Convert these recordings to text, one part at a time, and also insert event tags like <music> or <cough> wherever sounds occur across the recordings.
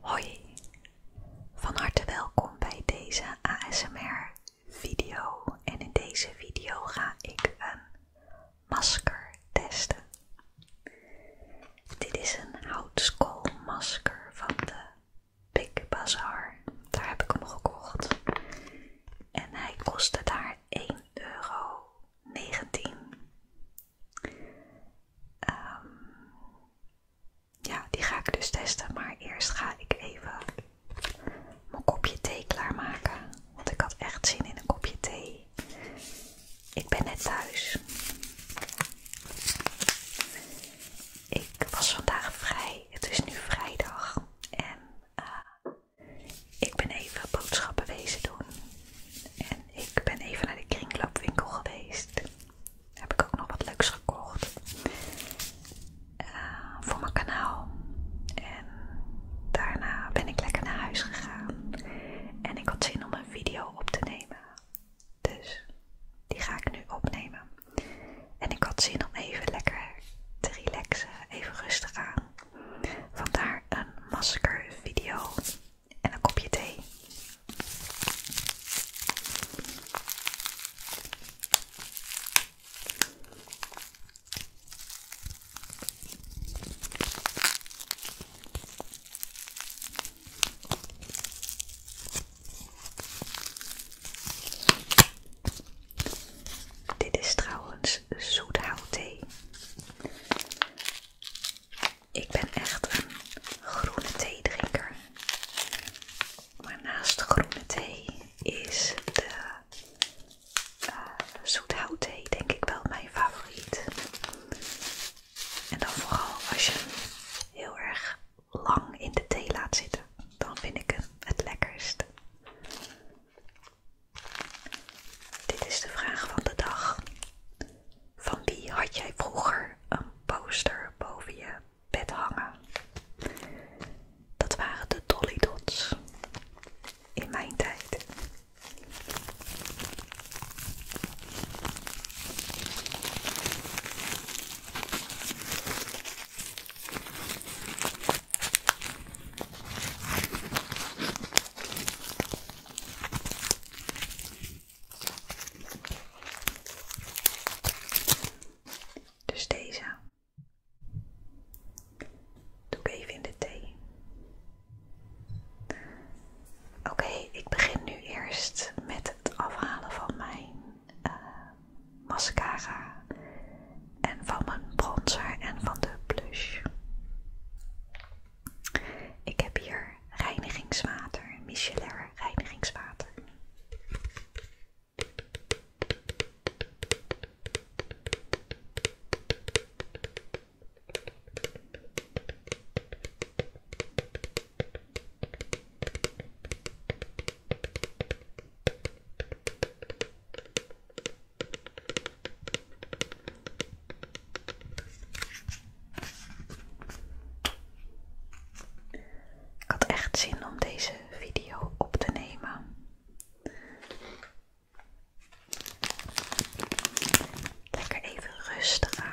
Hoi, van harte welkom bij deze ASMR video en in deze video ga ik een masker testen. Dit is een masker van de Big Bazaar, daar heb ik hem gekocht en hij kostte daar 1,19 euro. Ehm, ja, die ga ik dus testen, maar eerst ga ik even mijn kopje thee klaarmaken. Want ik had echt zin in een kopje thee. Ik ben net thuis. Ik was vandaag vrij. Het is nu vrijdag. En eh, ik ben even boodschappen bezig doen. En ik ben even naar de kringloopwinkel geweest. Daar heb ik ook nog wat leuks gekocht. Eh, voor mijn kanaal. En daarna ben ik lekker naar huis gegaan. En ik had zin om een video op te nemen. Dus die ga ik nu opnemen. En ik had zin om even lekker te relaxen. Even rustig aan. Vandaar een masker video en een kopje thee. Dit is trouwens zoethout thee. Ik ben echt een groene thee drinker, Maar naast groene thee is de eh, zoethout thee denk ik wel mijn favoriet. En dan vooral als je hem heel erg lang in de thee laat zitten. Dan vind ik hem het lekkerst. Dit is de vraag van de dag van wie had jij vroeger een poster boven je bed hangen. Dat waren de Dolly in mijn tijd. Dus deze doe ik even in de thee. Oké, ik begin nu eerst met het afhalen van mijn eh, mascara en van mijn bronzer en van de blush. Ik heb hier reinigingswater, micellair reinigingswater. Ik had echt zin om deze video op te nemen. Lekker even rustig aan.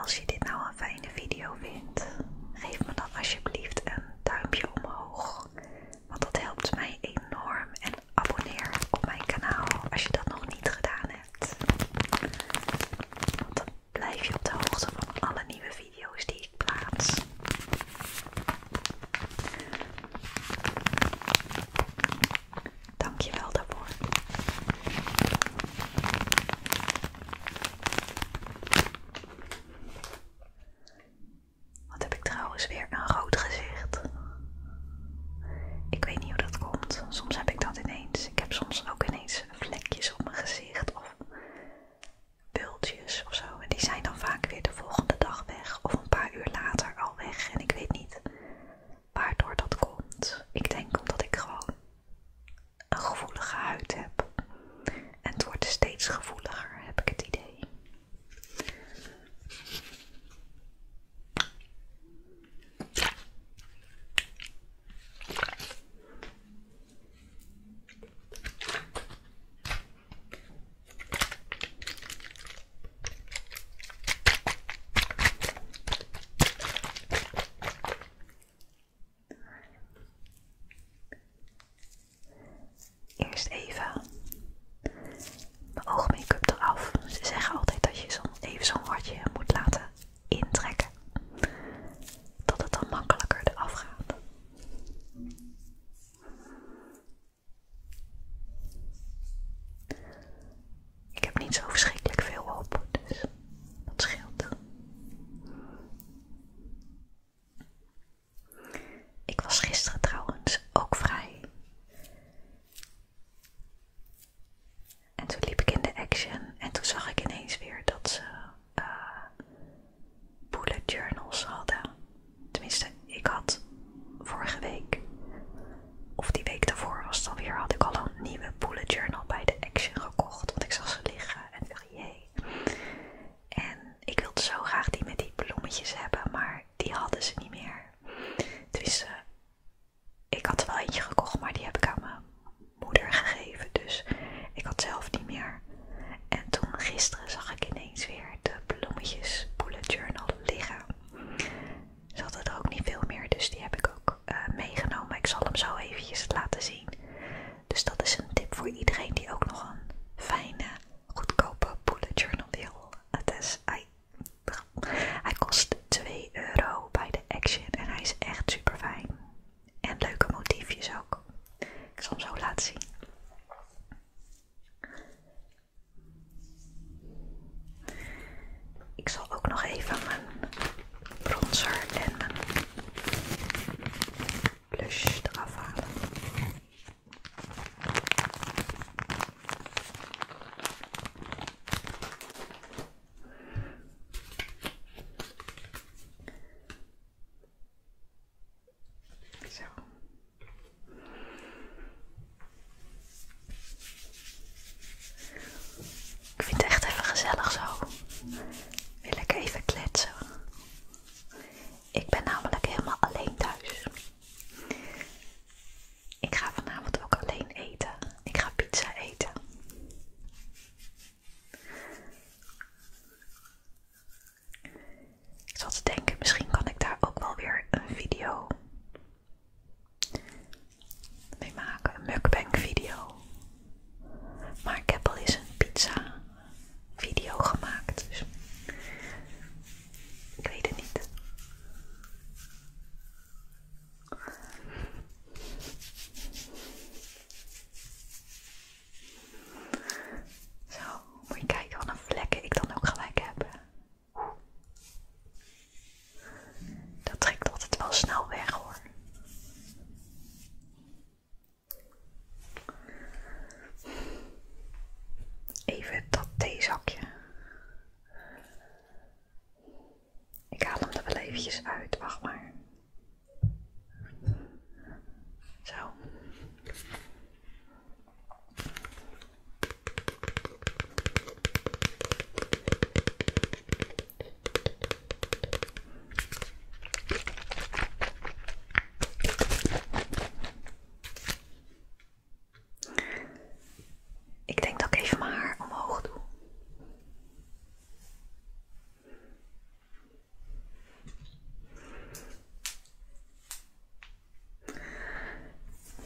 Als je dit nou een fijne video vindt, geef me dan alsjeblieft een duimpje omhoog. Want dat helpt mij enorm. En abonneer op mijn kanaal als je dat nog niet gedaan hebt. Want dan blijf je op de hoogte van alle nieuwe video's die ik plaats. Dankjewel daarvoor. Wat heb ik trouwens weer een rood gezicht? Ik weet niet hoe dat komt. Soms heb ik dat ineens. Ik heb soms ook ineens vlekjes op mijn gezicht of bultjes of zo. En die zijn dan vaak weer de volgende dag weg of een paar uur later al weg. En ik weet niet waardoor dat komt. Ik denk omdat ik gewoon een gevoelige huid heb. En het wordt steeds gevoeliger, heb ik het idee. Eerst even mijn oogmake-up eraf. Ze zeggen altijd dat je zo even zo'n watje moet laten intrekken. Dat het dan makkelijker eraf gaat. Ik heb niet zo verschrikkelijk veel op, dus dat scheelt. Ik was gisteren trouwens ook vrij. En toen liep ik in de Action en toen zag ik ineens weer dat ze eh, bullet journals hadden. Tenminste, ik had vorige week, of die week daarvoor was het alweer, had ik al een nieuwe bullet journal bij de Action gekocht. Want ik zag ze liggen en dacht, je. En ik wilde zo graag die met die bloemetjes hebben, maar die hadden ze niet meer. Tenminste, ik had er wel eentje gekocht, maar die heb ik aan mijn moeder gegeven. Dus ik had zelf niet meer. En toen gisteren zag ik ineens weer de bloemetjes bullet journal liggen. Ze hadden er ook niet veel meer, dus die heb ik ook eh, meegenomen. Ik zal hem zo eventjes laten zien. Dus dat is een tip voor iedereen die ook nog een fijne, goedkope bullet journal wil. Het is, hij, hij kost 2 euro bij de Action en hij is echt super fijn. En leuke motiefjes ook. Ik zal hem zo laten zien. Ik zal ook nog even mijn bronzer en mijn blush eraf halen. Ik vind het echt even gezellig zo. Wil ik even kletsen. Ik ben namelijk helemaal alleen thuis. Ik ga vanavond ook alleen eten. Ik ga pizza eten. Ik zat te denken, misschien kan ik daar ook wel weer een video mee maken. Een mukbang video. Maar ik heb al eens een pizza video gemaakt. Dus ik weet het niet. Zo, moet je kijken wat een vlekken ik dan ook gelijk heb. Dat trekt altijd wel snel weg hoor. Even dat theezakje. Ik haal hem er wel eventjes uit, wacht maar. Zo. Ik denk dat ik even maar omhoog doe.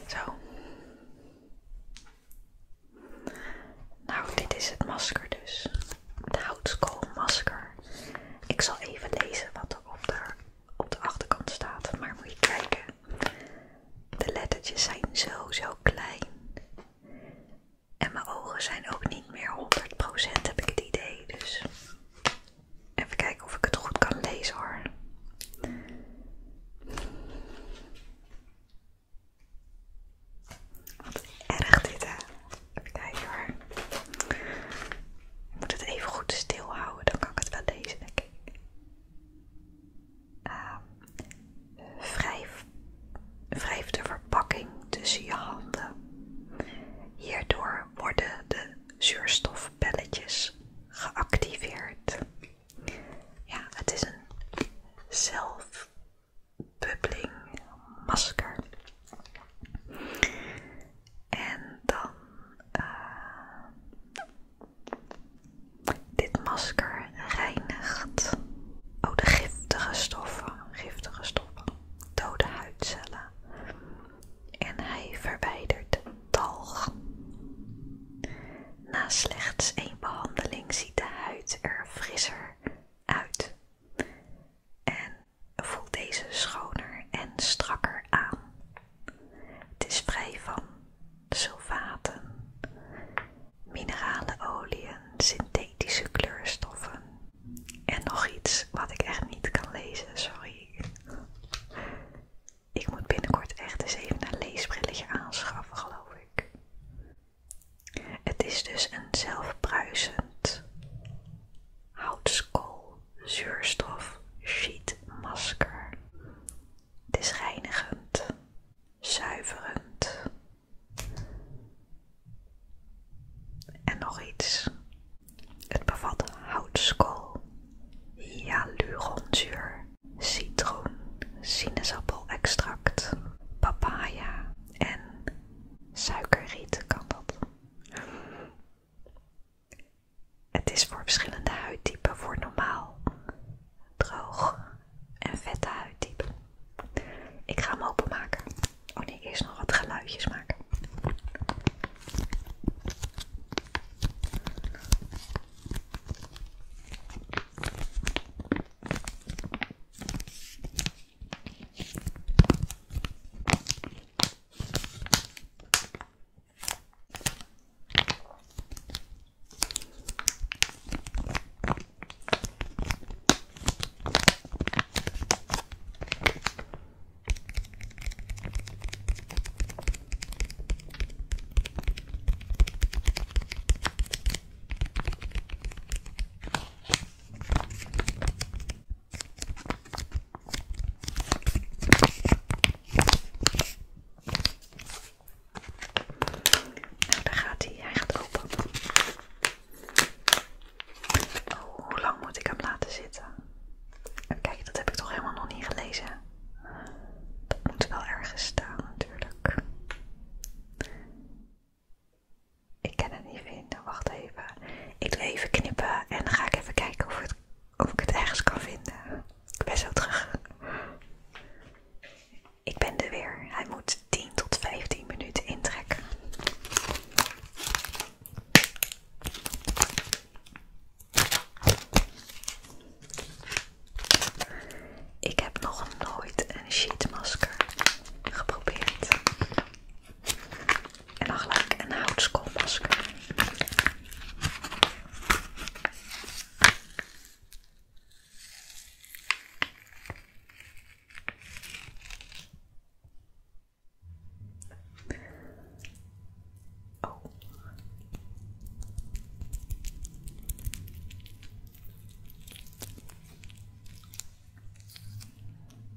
Zo. Nou, dit is het masker dus. Het Masker. Ik zal even lezen wat er op de, op de achterkant staat. Maar moet je kijken. De lettertjes zijn zo, zo klein. En mijn ogen zijn ook niet meer 100% heb ik het idee. Dus even kijken of ik het goed kan lezen hoor. Wat erg dit hè. Even kijken hoor. Ik moet het even goed stil houden, dan kan ik het wel lezen denk ik. wrijf, ehm, wrijf pakking tussen je handen. Hierdoor worden de zuurstofpelletjes geactiveerd. Ja, het is een zelfbubbeling masker. En dan eh, dit masker reinigt. Oh, de giftige stoffen, giftige stoffen dode huidcellen en hij verwijdert talg. Na slechts één behandeling ziet de huid er frisser uit en voelt deze schoner en strakker aan. Het is vrij van sulfaten, minerale oliën, synthetische kleurstoffen en nog iets wat ik echt niet kan lezen, sorry. Ik moet binnenkort echt eens even een leesbrilletje aanschaffen, geloof ik. Het is dus een zelfbruisend houtskool zuurstof sheet masker. Het is reinigend, zuiverend en nog iets. Het bevat houtskool, hyaluronzuur, citroen, sinaasappelextract, papaya en suikerriet kan dat. Het is voor verschillende huidtypen voor normaal, droog en vette huidtypen. Ik ga hem openmaken. Oh nee, eerst nog wat geluidjes maken. Nou, daar gaat hij. Hij gaat open hoe lang moet ik hem laten zitten? Kijk, dat heb ik toch helemaal nog niet gelezen. Dat moet wel ergens staan natuurlijk. Ik kan het niet vinden, nou, wacht even. Ik doe even knippen en dan ga ik even kijken of, of ik het ergens kan vinden. Ik ben zo terug. Ik ben er weer. Hij moet 10 tot 15 minuten intrekken. Ik heb nog nooit een sheetmasker geprobeerd. En dan gelijk een houtskoolmasker.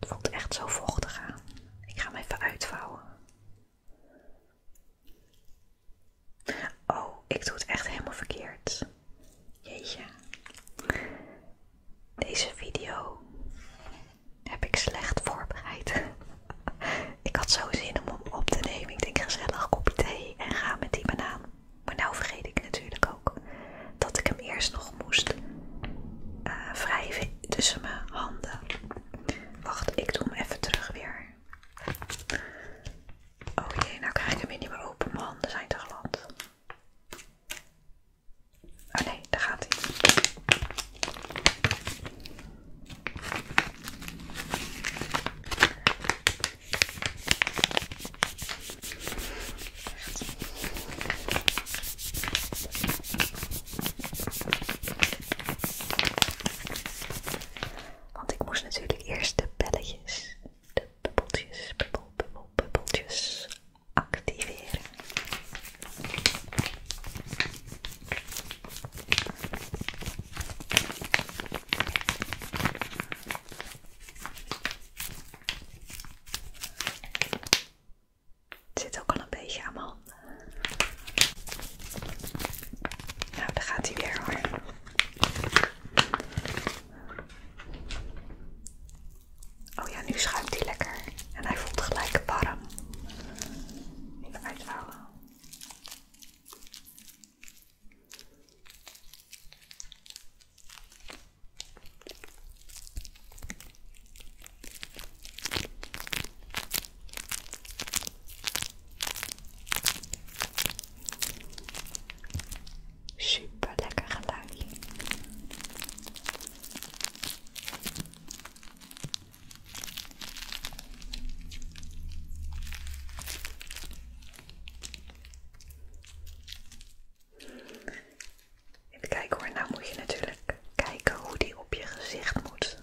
Het oh. voelt echt zo vochtig aan. Ik ga hem even uitvouwen. Oh, ik doe het echt helemaal verkeerd. Jeetje. Deze video heb ik slecht voorbereid. <laughs> ik had zo zin om hem op te nemen. Ik denk gezellig kopje thee en ga met die banaan. Maar nou vergeet ik natuurlijk ook dat ik hem eerst nog moest eh, wrijven tussen mijn handen. Wacht, ik doe hem even terug weer. Oh jee, nou krijg ik hem weer niet meer open. Mijn handen zijn te glad. Oh daar gaat hij. Want ik moest natuurlijk eerst de belletjes, de bubbeltjes, bubbel, bubbel, bubbeltjes activeren. Het zit ook al een beetje aan Nou, dan gaat hij weer hoor. Oh ja, nu schuift hij lekker. En hij voelt gelijk warm. Even Super lekker geluidje. Even kijken hoor, nou moet je natuurlijk kijken hoe die op je gezicht moet.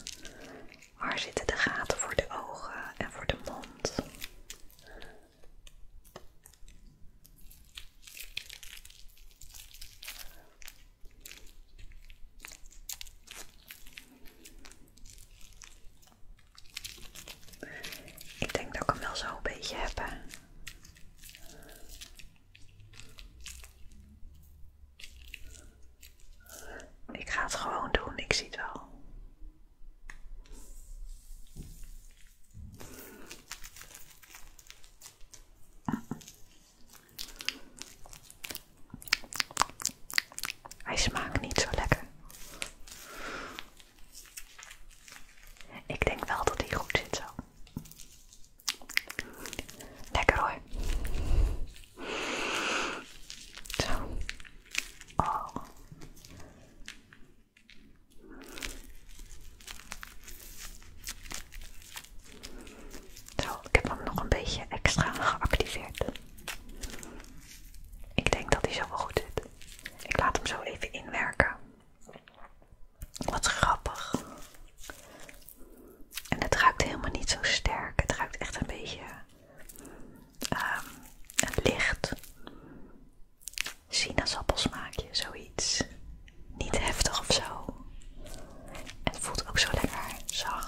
Waar zitten de gaten voor de ogen en voor de mond? Ik denk dat ik hem wel zo een beetje heb. Ik ga het gewoon doen, ik zie het wel. Hij smaakt niet zo lekker. Ik denk wel dat hij goed zit zo. Lekker hoor. Zo. Oh. Zo, ik heb hem nog een beetje extra geactiveerd. Ik denk dat hij zo wel goed zit. Ik laat hem zo even inwerken. Wat grappig. En het ruikt helemaal niet zo sterk. Het ruikt echt een beetje ehm, licht sinaasappelsmaakje, zoiets. Niet heftig of zo. En het voelt ook zo lekker zacht.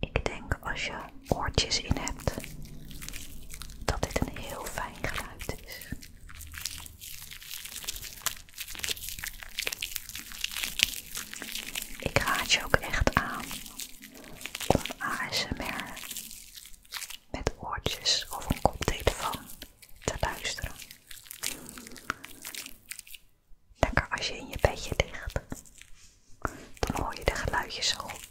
Ik denk als je oortjes in hebt dat dit een heel fijn geluid is. Ik raad je ook echt aan om ASMR met oortjes of een koptelefoon te luisteren. Lekker als je in je bedje ligt, dan hoor je de geluidjes zo goed.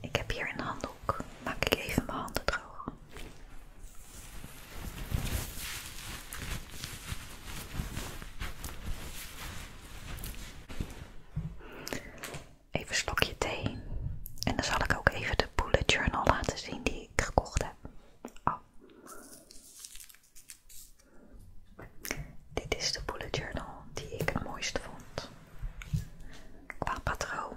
Ik heb hier een handdoek. Maak ik even mijn handen droog. Even slokje thee. En dan zal ik ook even de bullet journal laten zien die ik gekocht heb. Oh. Dit is de bullet journal die ik het mooiste vond. Qua patroon.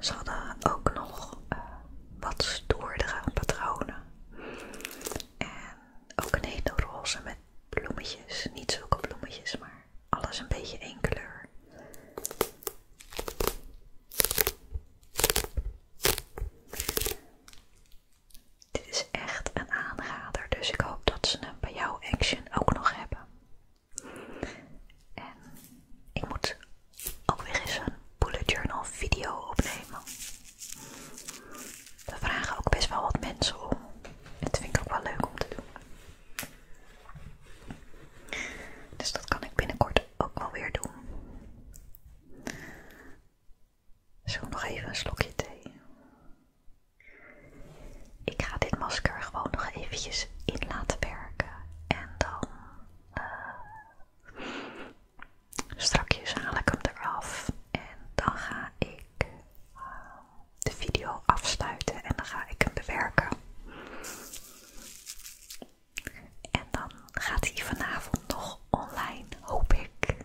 Ze hadden ook nog eh, wat stoerdere patronen. En ook een hele roze met bloemetjes. Niet zulke bloemetjes, maar alles een beetje één kleur. Dit is echt een aanrader, dus ik hoop dat ze hem bij jouw Action ook nog hebben. En ik moet ook weer eens een bullet journal video opnemen. We vragen ook best wel wat mensen om. Dat vind ik ook wel leuk om te doen. Dus dat kan ik binnenkort ook wel weer doen. Zo nog even een slokje thee. Ik ga dit masker gewoon nog eventjes in laten werken. En dan eh, strakjes haal ik hem eraf. En dan ga ik eh, de video afsluiten en dan ga ik hem bewerken. En dan gaat hij vanavond nog online, hoop ik.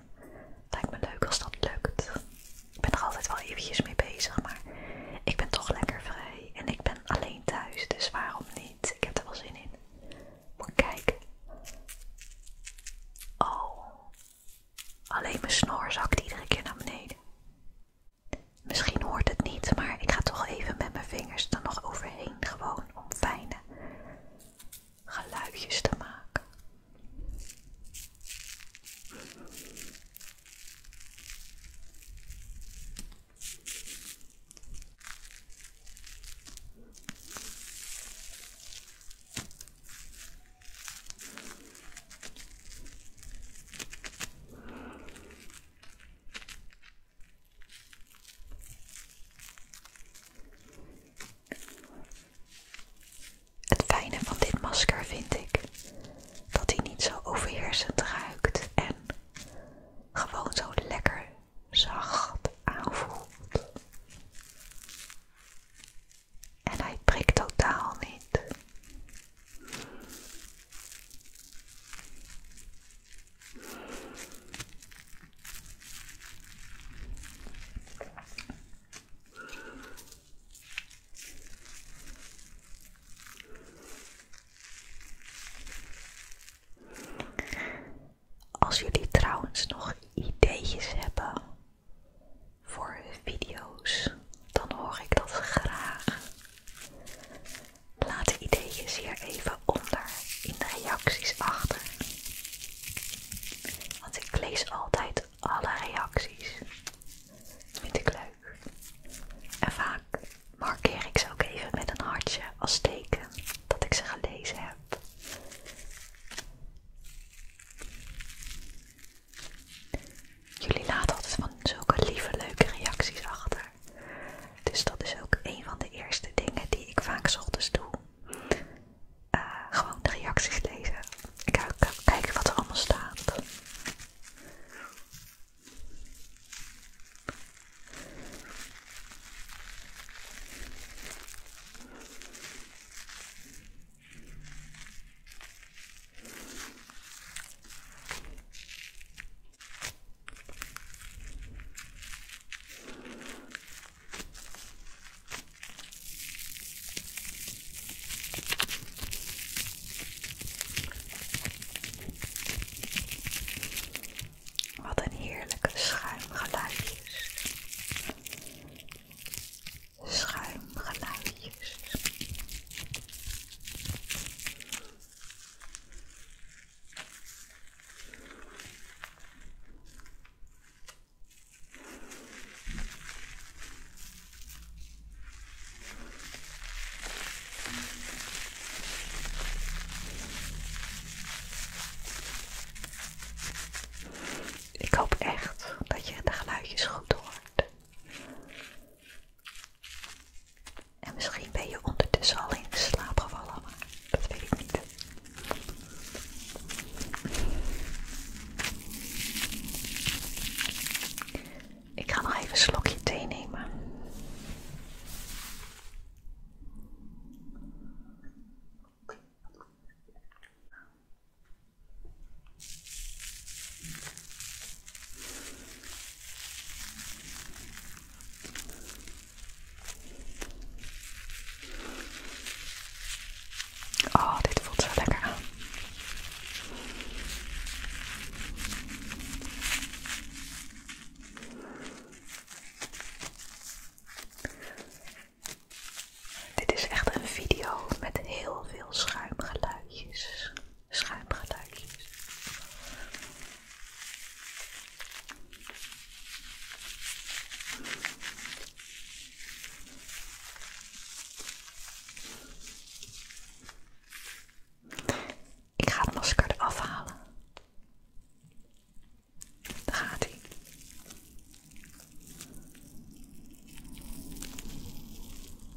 Lijkt me leuk als dat lukt. Ik ben er altijd wel eventjes mee bezig, maar ik ben toch lekker vrij. En ik ben alleen thuis, dus waarom niet? Ik heb er wel zin in. Moet kijken. Oh, alleen mijn snor zakt iedere keer naar beneden. Misschien hoort het niet, maar ik ga toch even met mijn vingers dan nog overheen, gewoon om fijne geluidjes te maken. Het fijne van dit masker vind ik dat hij niet zo overheersend ruikt en gewoon zo lekker zacht aanvoelt. En hij prikt totaal niet. Als jullie trouwens nog ideetjes hebben voor video's, dan hoor ik dat graag. Laat de ideeën hier even onder in de reacties achter. Want ik lees altijd alle reacties. Dat vind ik leuk. En vaak markeer ik ze ook even met een hartje als teken dat ik ze gelezen heb. Jullie laten altijd van zulke lieve, leuke reacties achter. Dus dat is ook een van de eerste dingen die ik vaak 's ochtends doe. Eh, gewoon de reacties lezen. Ik ga kijken wat er allemaal staat. Wat een heerlijke schuimgeluidjes. Schuimgeluidjes. Ik hoop echt dat je de geluidjes goed hoort. En misschien ben je ondertussen al in slaap gevallen, maar dat weet ik niet. Ik ga nog even slokje thee nemen. Oh, dit voelt zo lekker aan. Dit is echt een video met heel veel schuimgeluidjes schuimgeluidjes. Ik ga het masker afhalen. halen. Daar gaat hij.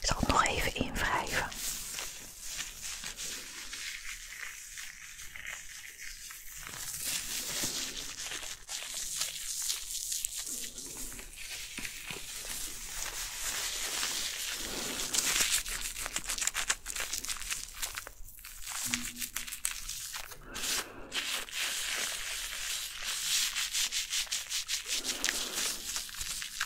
Ik zal nog even invrijven.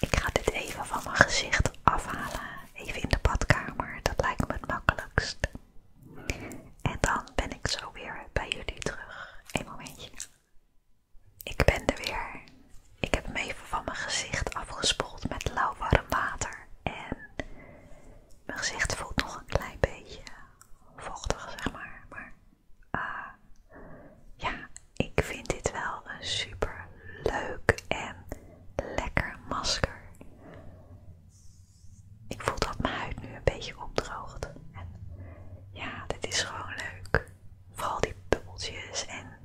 Ik ga dit even van mijn gezicht afhalen. Even in de badkamer. Dat lijkt me het makkelijkst. En dan ben ik zo weer bij jullie terug. Een momentje. Ik ben er weer. Ik heb hem even van mijn gezicht afgespoeld met lauw warm water. En mijn gezicht voelt nog een klein beetje vochtig, zeg maar. Maar eh, ja, ik vind dit wel een super leuk en lekker masker. Ik voel dat mijn huid nu een beetje opdroogt. En ja, dit is gewoon leuk. Vooral die bubbeltjes en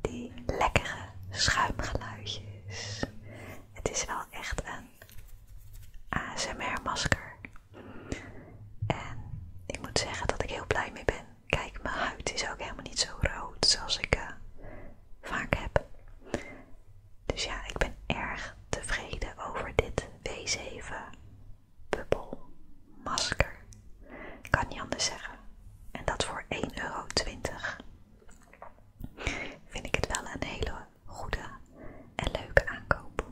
die lekkere schuimgeluidjes. Het is wel echt een ASMR-masker. En ik moet zeggen dat ik heel blij mee ben. Kijk, mijn huid is ook helemaal niet zo rood zoals ik eh, vaak heb. Dus ja, ik ben erg tevreden over dit W7 Bubble masker. Ik kan niet anders zeggen. En dat voor 1,20 euro. Vind ik het wel een hele goede en leuke aankoop.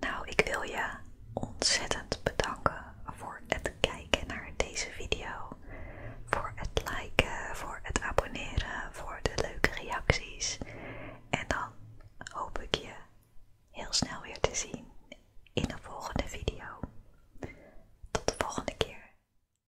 Nou, ik wil je ontzettend bedanken voor het kijken naar deze video. Voor het liken, voor het abonneren, voor de leuke reacties. En dan hoop ik je heel snel weer te zien in de volgende video. Tot de volgende keer.